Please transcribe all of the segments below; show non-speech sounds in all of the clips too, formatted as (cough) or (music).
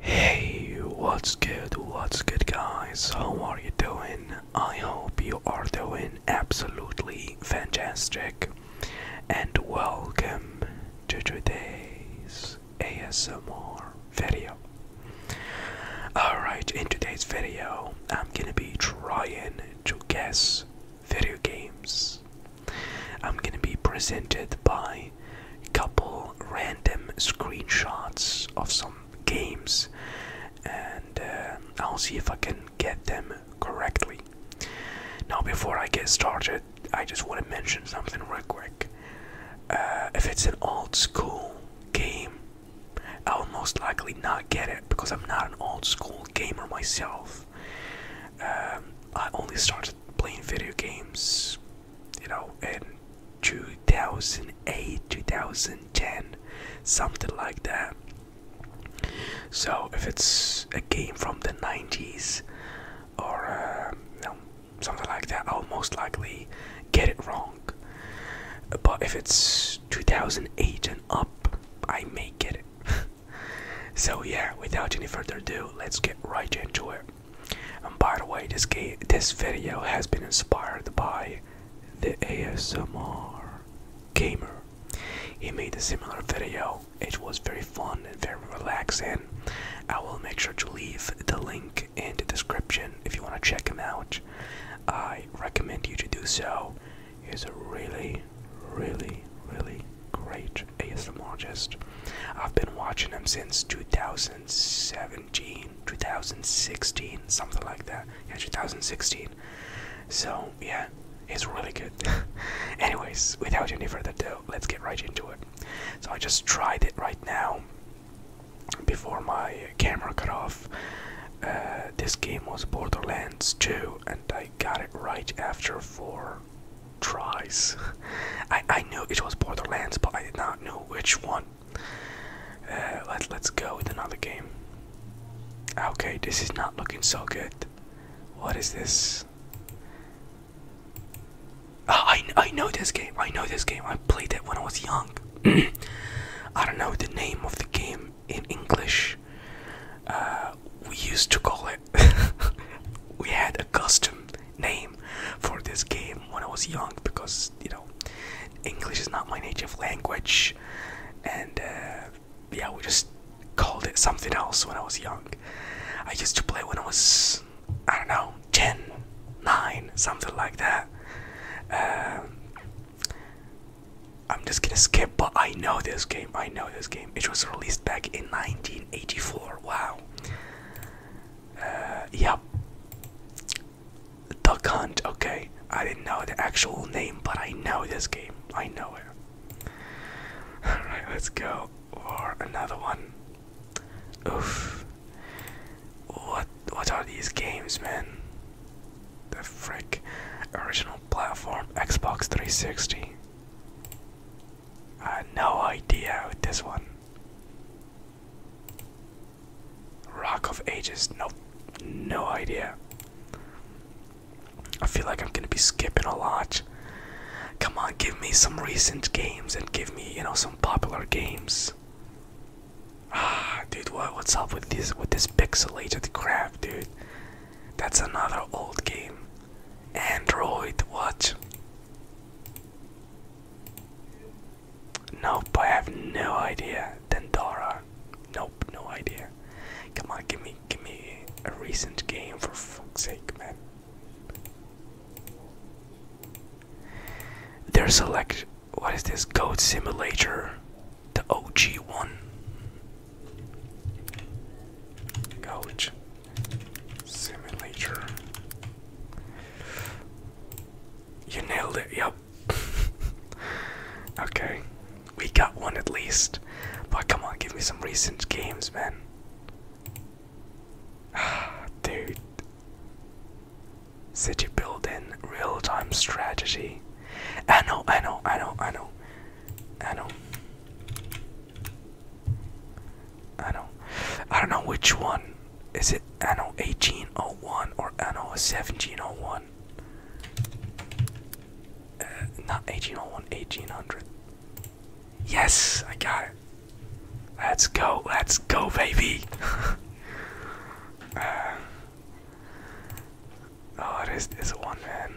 Hey, what's good? What's good, guys? How are you doing? I hope you are doing absolutely fantastic. And welcome to today's ASMR video. Alright, in today's video, I'm gonna be trying to guess video games. I'm gonna be presented by couple random screenshots of some games and uh, I'll see if I can get them correctly. Now before I get started I just want to mention something real quick. Uh, if it's an old school game I'll most likely not get it because I'm not an old school gamer myself. Um, I only started playing video games you know, in 2008, 2010, something like that. So if it's a game from the 90s or uh, something like that, I'll most likely get it wrong. But if it's 2008 and up, I may get it. (laughs) so yeah, without any further ado, let's get right into it. And by the way, this game, this video has been inspired by the ASMR gamer. He made a similar video. It was very fun and very relaxing. I will make sure to leave the link in the description if you want to check him out. I recommend you to do so. He's a really, really, really great ASMR artist. I've been watching him since 2000. 2017, 2016, something like that. Yeah, 2016. So, yeah, it's really good. (laughs) Anyways, without any further ado, let's get right into it. So, I just tried it right now before my camera cut off. Uh, this game was Borderlands 2, and I got it right after 4 tries. (laughs) I I knew it was Borderlands, but I did not know which one. Uh, let let's go with another game. Okay, this is not looking so good. What is this? Ah, I I know this game. I know this game. I played it when I was young. (clears throat) I don't know the name of the game in English. Uh, we used to call it. (laughs) we had a custom name for this game when I was young because you know English is not my native language, and uh, yeah, we just called it something else when I was young. I used to play when I was I don't know 10, 9, something like that. Um, I'm just gonna skip, but I know this game. I know this game. It was released back in 1984. Wow. Uh, yep. Duck Hunt, okay. I didn't know the actual name, but I know this game. I know it. Alright, let's go for another one. Oof. What what are these games, man? The frick. Original platform, Xbox 360. I had no idea with this one. Rock of Ages. Nope. No idea. I feel like I'm gonna be skipping a lot. Come on, give me some recent games and give me, you know, some popular games. Ah, dude, what, what's up with this with this pixelated crap, dude? That's another old game. Android, watch. Nope, I have no idea. Dendara. Nope, no idea. Come on, give me, give me a recent game for fuck's sake, man. Their select. What is this? Goat Simulator, the OG one. Coach. Simulator. You nailed it, yep. (laughs) okay, we got one at least. But come on, give me some recent games, man. (sighs) Dude. City building, real time strategy. I know, I know, I know, I know. I know. I don't I don't know which one. Is it anno 1801 or anno 1701? Uh, not 1801, 1800. Yes, I got it. Let's go, let's go, baby. (laughs) Uh, oh, it is this one, man.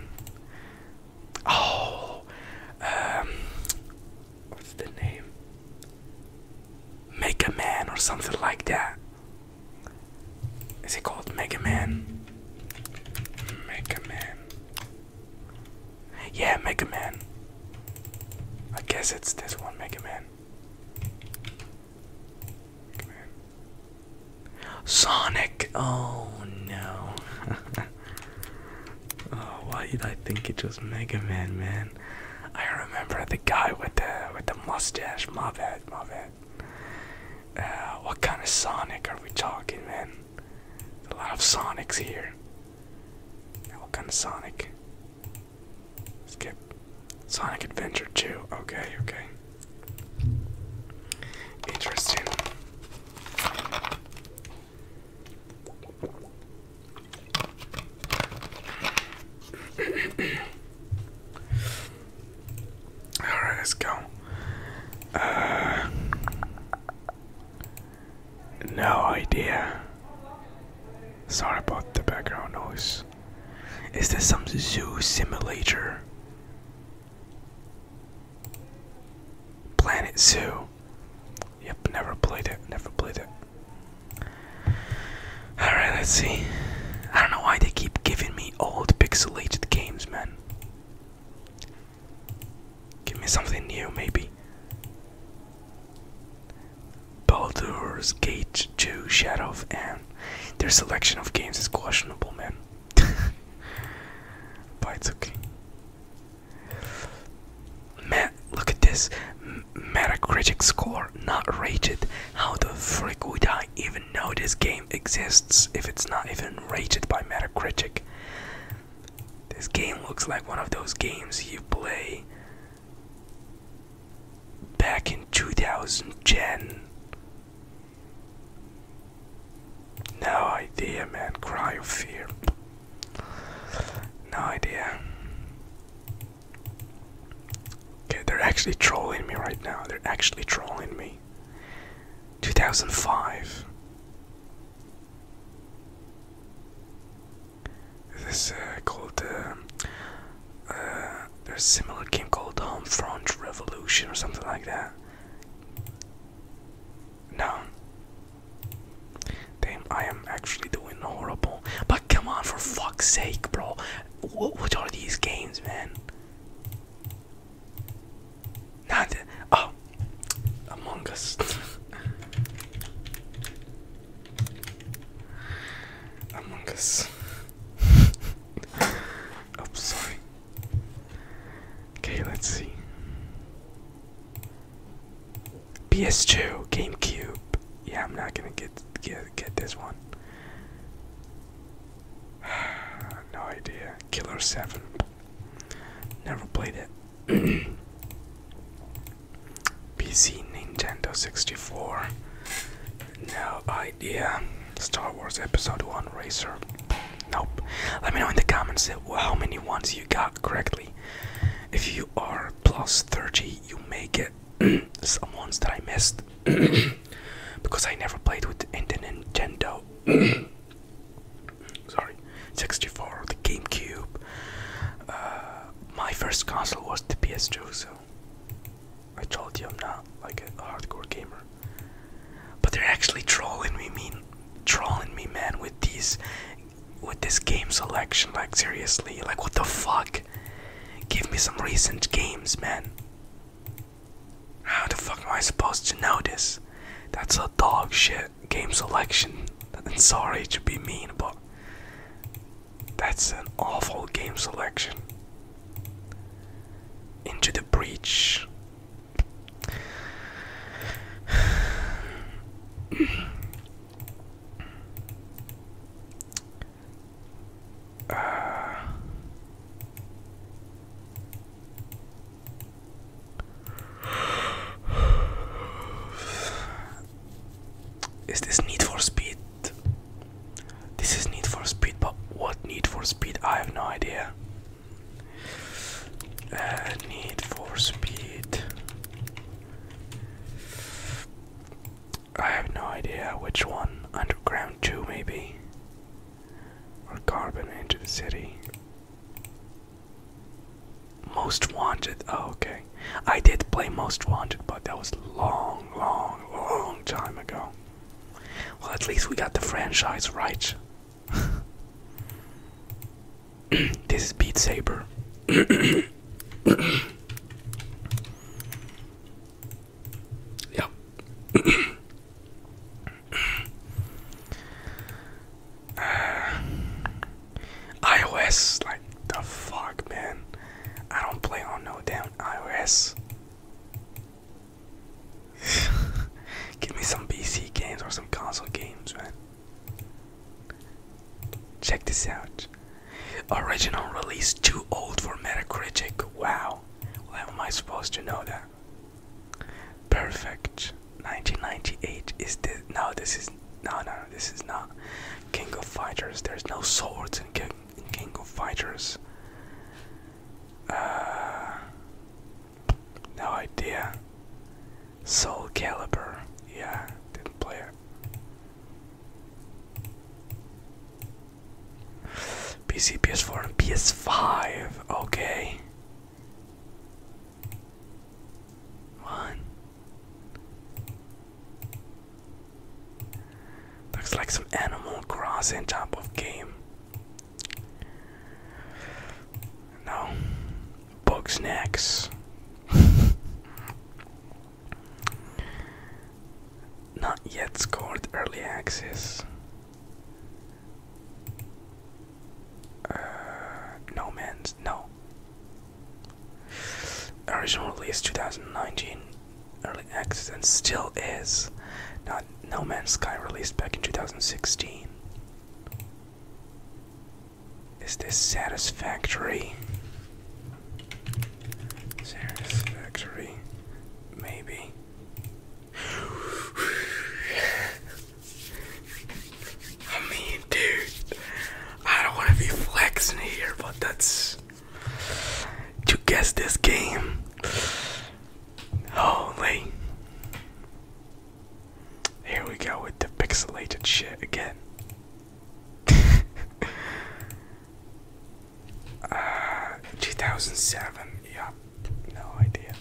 Oh, um, what's the name? Mega Man or something like that. Is it called Mega Man? Mega Man. Yeah, Mega Man. I guess it's this one, Mega Man. Mega Man. Sonic! Oh no. (laughs) Oh, why did I think it was Mega Man, man? I remember the guy with the with the mustache. My bad, my bad. Uh, what kind of Sonic are we talking, man? a lot of Sonics here. what kind of Sonic? Skip. Sonic Adventure 2. Okay, okay. Interesting. All right, let's go. Uh, no idea. Sorry about the background noise. Is this some zoo simulator? Planet Zoo. Yep, never played it. Never played it. Alright, let's see. I don't know why they keep giving me old pixelated games, man. Give me something new, maybe. Baldur's Gate 2 Shadow of Anne. Their selection of games is questionable, man. (laughs) but it's okay. Ma look at this Metacritic score not rated. How the freak would I even know this game exists if it's not even rated by Metacritic? This game looks like one of those games you play back in 2010. No idea, man. Cry of fear. No idea. Okay, they're actually trolling me right now. They're actually trolling me. 2005. This uh, called. Uh, uh, there's a similar game called Front Revolution or something like that. No, Damn, I am actually doing horrible. But come on, for fuck's sake, bro. What, are these games, man? Not oh, Among Us. (laughs) Among Us. (laughs) oh, sorry. Okay, let's see. PS2, GameCube. Yeah, I'm not gonna get get get this one. (sighs) no idea. Killer Seven. Never played it. (clears throat) PC, Nintendo 64. No idea. Star Wars Episode One Racer. Nope. Let me know in the comments how many ones you got correctly. If you are plus 30, you may get (clears throat) some ones that I missed (clears throat) because I never played with in the Nintendo. (clears throat) Sorry, 64, the GameCube. Uh, my first console was the PS2, so I told you I'm not like a hardcore gamer. But they're actually trolling me, mean trolling me, man, with these with this game selection. Like seriously, like what the fuck? Give me some recent games, man. How the fuck am I supposed to know this? That's a dog shit game selection. i (laughs) sorry to be mean, but that's an awful game selection. Into the breach. (sighs) (sighs) Uh, is this Need for Speed? This is Need for Speed, but what Need for Speed? I have no idea. Uh, need for Speed. I have no idea which one. Underground 2, maybe? Or Carbon into the city? Most Wanted. Oh, okay. I did play Most Wanted, but that was long, long, long time ago. Well, at least we got the franchise right. (laughs) (clears throat) this is Beat Saber. (clears throat) yep. (clears throat) Uh, iOS, like the fuck, man. I don't play on no damn iOS. (sighs) Give me some PC games or some console games, man. Check this out. Original release too old for Metacritic. Wow. how am I supposed to know that? Perfect. 1998 is this. No, this is. No, no, this is not. King of Fighters. There's no swords in King, of Fighters. Uh, no idea. Soul Calibur. Yeah, didn't play it. PC, PS4, and PS5. Okay. One. Looks like some Animal Crossing type of game. No, Bug snacks. Not yet scored early access. Uh, no man's no. Original release 2019, early access, and still is. Not No Man's Sky released back in 2016. Is this satisfactory? Satisfactory. Maybe. (sighs) I mean, dude, I don't want to be flexing here, but that's. To guess this game. (sighs) Holy. Here we go with the pixelated shit again. (laughs) uh, 2007, yep, no idea.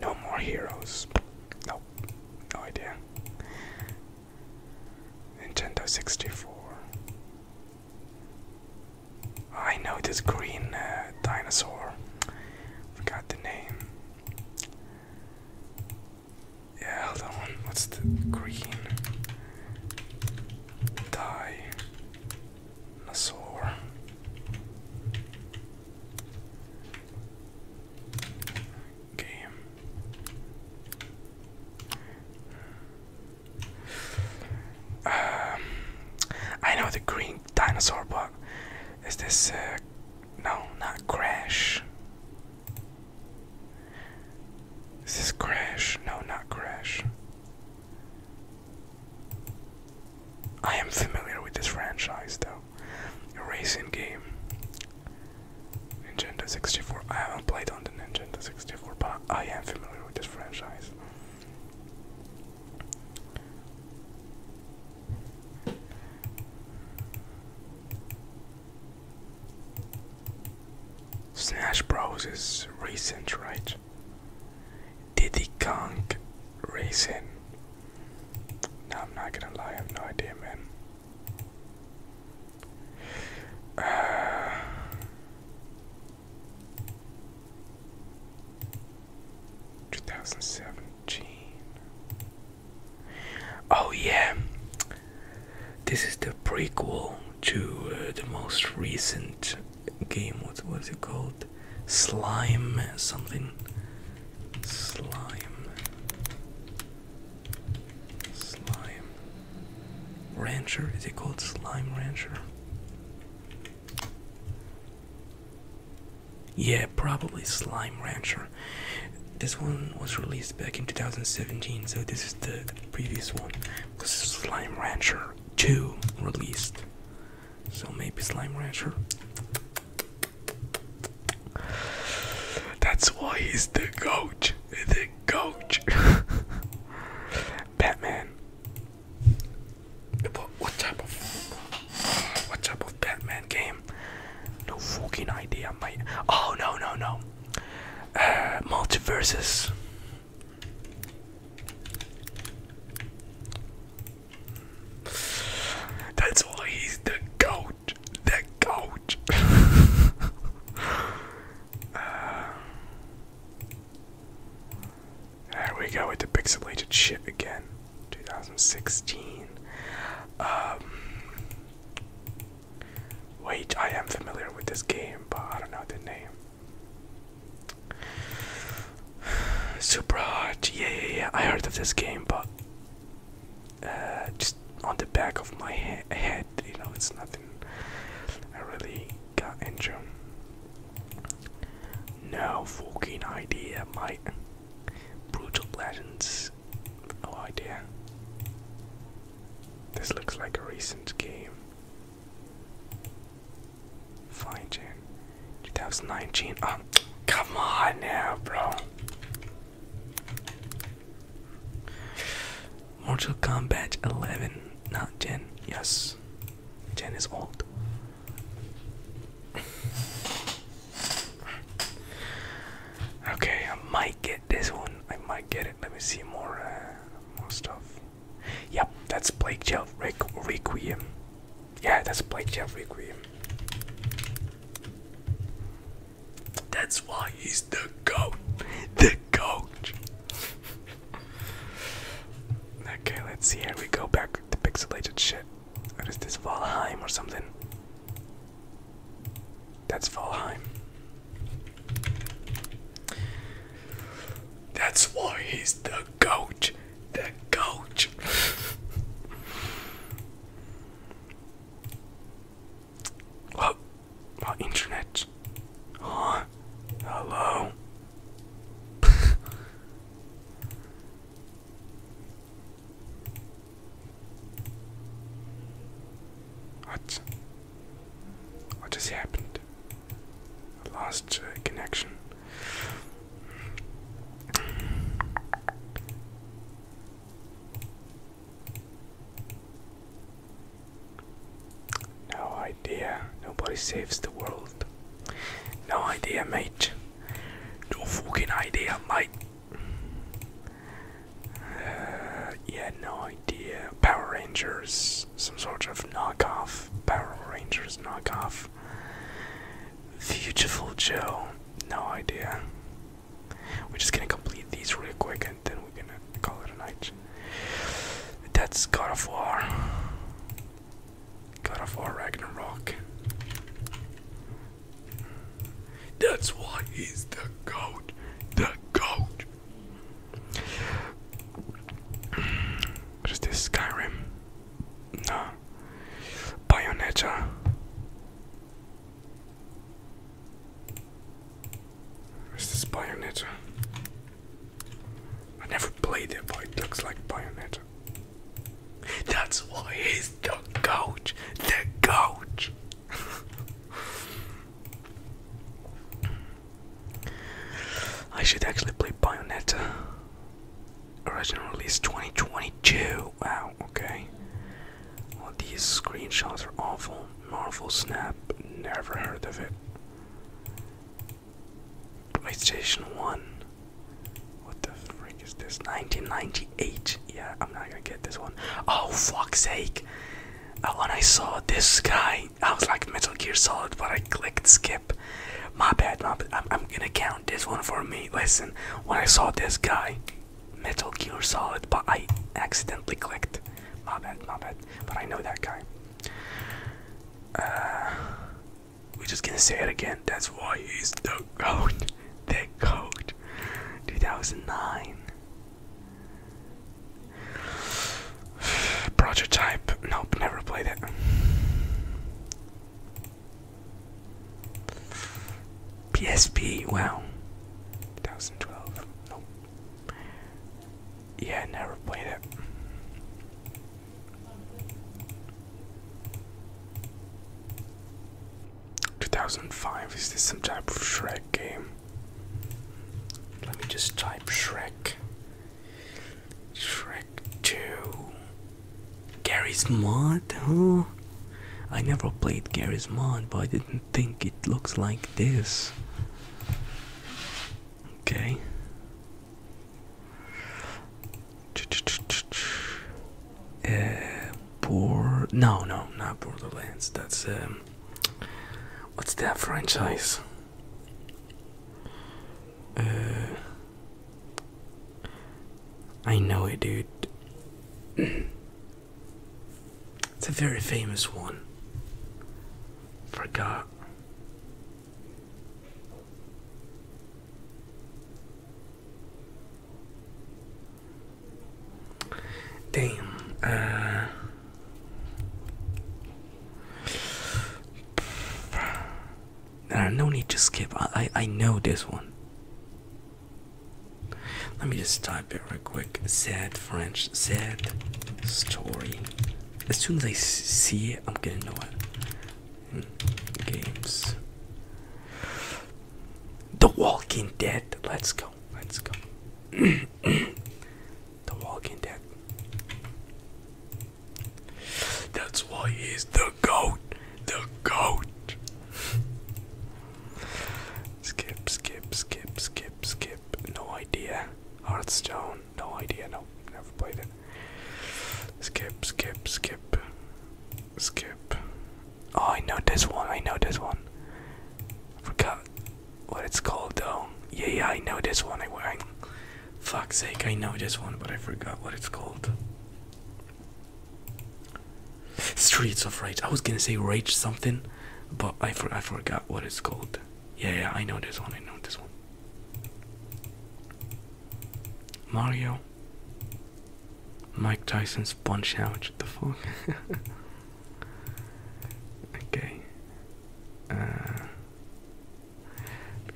No more heroes. Nope, no idea. Nintendo 64. I know this green uh, dinosaur. Forgot the name. Yeah, hold on. What's the green? Dinosaur. Game. Um, I know the green dinosaur, but is this uh, no, not crash. This Is crash? No, not crash. I am familiar with this franchise though. A racing game. Nintendo 64. I haven't played on the Nintendo 64, but I am familiar with this franchise. Smash Bros is recent, right? Diddy Kong Racing. No, I'm not gonna lie, I have no idea, man. Uh, Two thousand seventeen. Oh, yeah, this is the prequel to uh, the most recent game. What was it called? Slime something. Slime. Slime. Rancher? Is it called Slime Rancher? Yeah, probably Slime Rancher. This one was released back in 2017, so this is the, previous one. Because Slime Rancher 2 released. So maybe Slime Rancher. That's why he's the coach. The coach. (laughs) Batman. What type of what type of Batman game? No fucking idea, mate. Oh no no no. Uh, multiverses. That's why he's the goat. The goat. (laughs) uh, there we go with the pixelated shit again. 2016. Um, wait, I am familiar with this game, but I don't know the name. (sighs) Super Hot, yeah, yeah, yeah. I heard of this game, but uh, just on the back of my head, you know, it's nothing I really got injured. No fucking idea, mate. Brutal Legends. No idea. This looks like a recent game. Fighting. 2019. Oh, come on now, bro. Mortal Kombat 11, not Gen. Yes, Gen is old. Okay, I might get this one. I might get it. Let me see more, uh, more stuff. Yep, that's Blake Gel Requ Requiem. Yeah, that's Blake Gel Requiem. That's why he's the goat. The goat. okay, let's see. Here we go back to pixelated shit. Or is this Valheim or something? That's Valheim. That's why he's the coach. The coach. oh, my internet. Huh? Hello. (laughs) What? What just happened? lost connection. No idea. Nobody saves the world. No idea, mate. No fucking idea, Mike. Uh, yeah, no idea. Power Rangers, some sort of knockoff. Power Rangers knockoff. Beautiful Joe, no idea. We're just gonna complete these real quick and then we're gonna call it a night. That's God of War. God of War Ragnarok. That's why he's the goat. The goat. What is this? Skyrim? No. Bayonetta. Where's this Bayonetta? I never played it, but it looks like Bayonetta. That's why he's the coach. The coach. I should actually play Bayonetta. Original release 2022. Wow, okay. these screenshots are awful. Marvel Snap, never heard of it. PlayStation 1. What the frick is this? 1998. Yeah, I'm not gonna get this one. Oh, fuck's sake. Uh, when I saw this guy, I was like Metal Gear Solid, but I clicked skip. My bad, my bad. I'm, gonna count this one for me. Listen, when I saw this guy, Metal Gear Solid, but I accidentally clicked. My bad, my bad. But I know that guy. Uh, we're just gonna say it again. That's why he's the goat. (laughs) The goat. 2009. Prototype. (sighs) Nope, never played it. PSP. Wow. 2012. Nope. Yeah, never played it. 2005, is this some type of Shrek game? Let me just type Shrek. Shrek 2. Gary's Mod, huh? I never played Gary's Mod, but I didn't think it looks like this. Okay. Uh, Bor no, no, not Borderlands. That's um, what's that franchise? Uh, I know it, dude. (clears throat) it's a very famous one. Forgot. Damn. Uh, uh, (sighs) no need to skip. I, I I know this one. Let me just type it real quick. Sad French. Sad story. As soon as I see it, I'm gonna know it games. The Walking Dead. Let's go. Let's go. (clears throat) the Walking Dead. That's why he's the goat. The goat. skip, skip, skip, skip, skip. No idea. Hearthstone. No idea. No, never played it. Skip, skip, skip skip. Oh, I know this one. I know this one. Forgot what it's called though. Yeah, yeah, I know this one. I, I Fuck sake, I know this one, but I forgot what it's called. Streets of Rage. I was gonna say Rage something, but I for I forgot what it's called. Yeah, yeah, I know this one. I know this one. Mario. Mike Tyson's punch challenge. the fuck? (laughs) okay.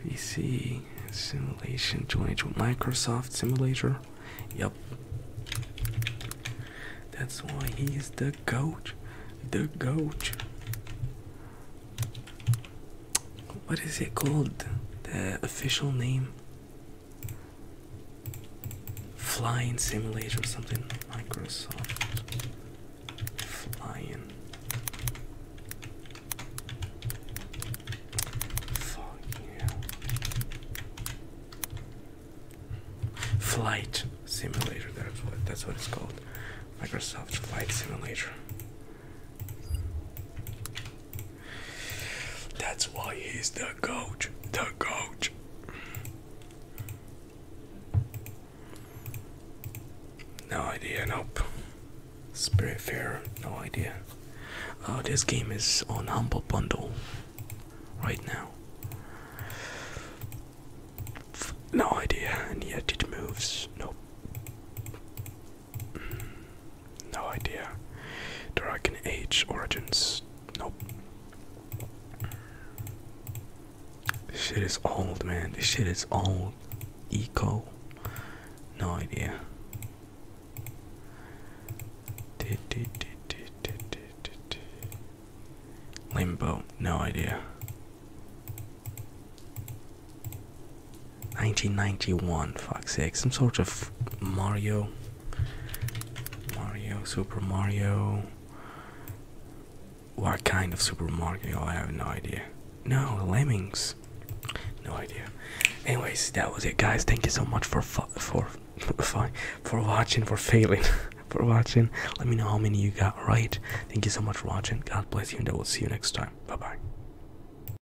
PC uh, simulation Joined with Microsoft simulator. Yep. That's why he's the coach. The coach. What is it called? The official name? Flying simulator something. Microsoft Flying. Fuck yeah. Flight simulator. That's what that's what it's called. Microsoft Flight Simulator. That's why he's the coach. The coach. No idea, nope. Spirit Fair, no idea. Oh, this game is on Humble Bundle right now. No idea, and yet it moves. Nope. No idea. Dragon Age Origins. Nope. shit is old, man. This shit is old. Eco. No idea. Limbo. No idea. 1991, fuck's sake, some sort of Mario, Mario, Super Mario, what kind of Super Mario, I have no idea, no, Lemmings, no idea, anyways, that was it guys, thank you so much for for, (laughs) for, for watching, for failing, (laughs) for watching, let me know how many you got right, thank you so much for watching, God bless you, and I will see you next time, bye bye.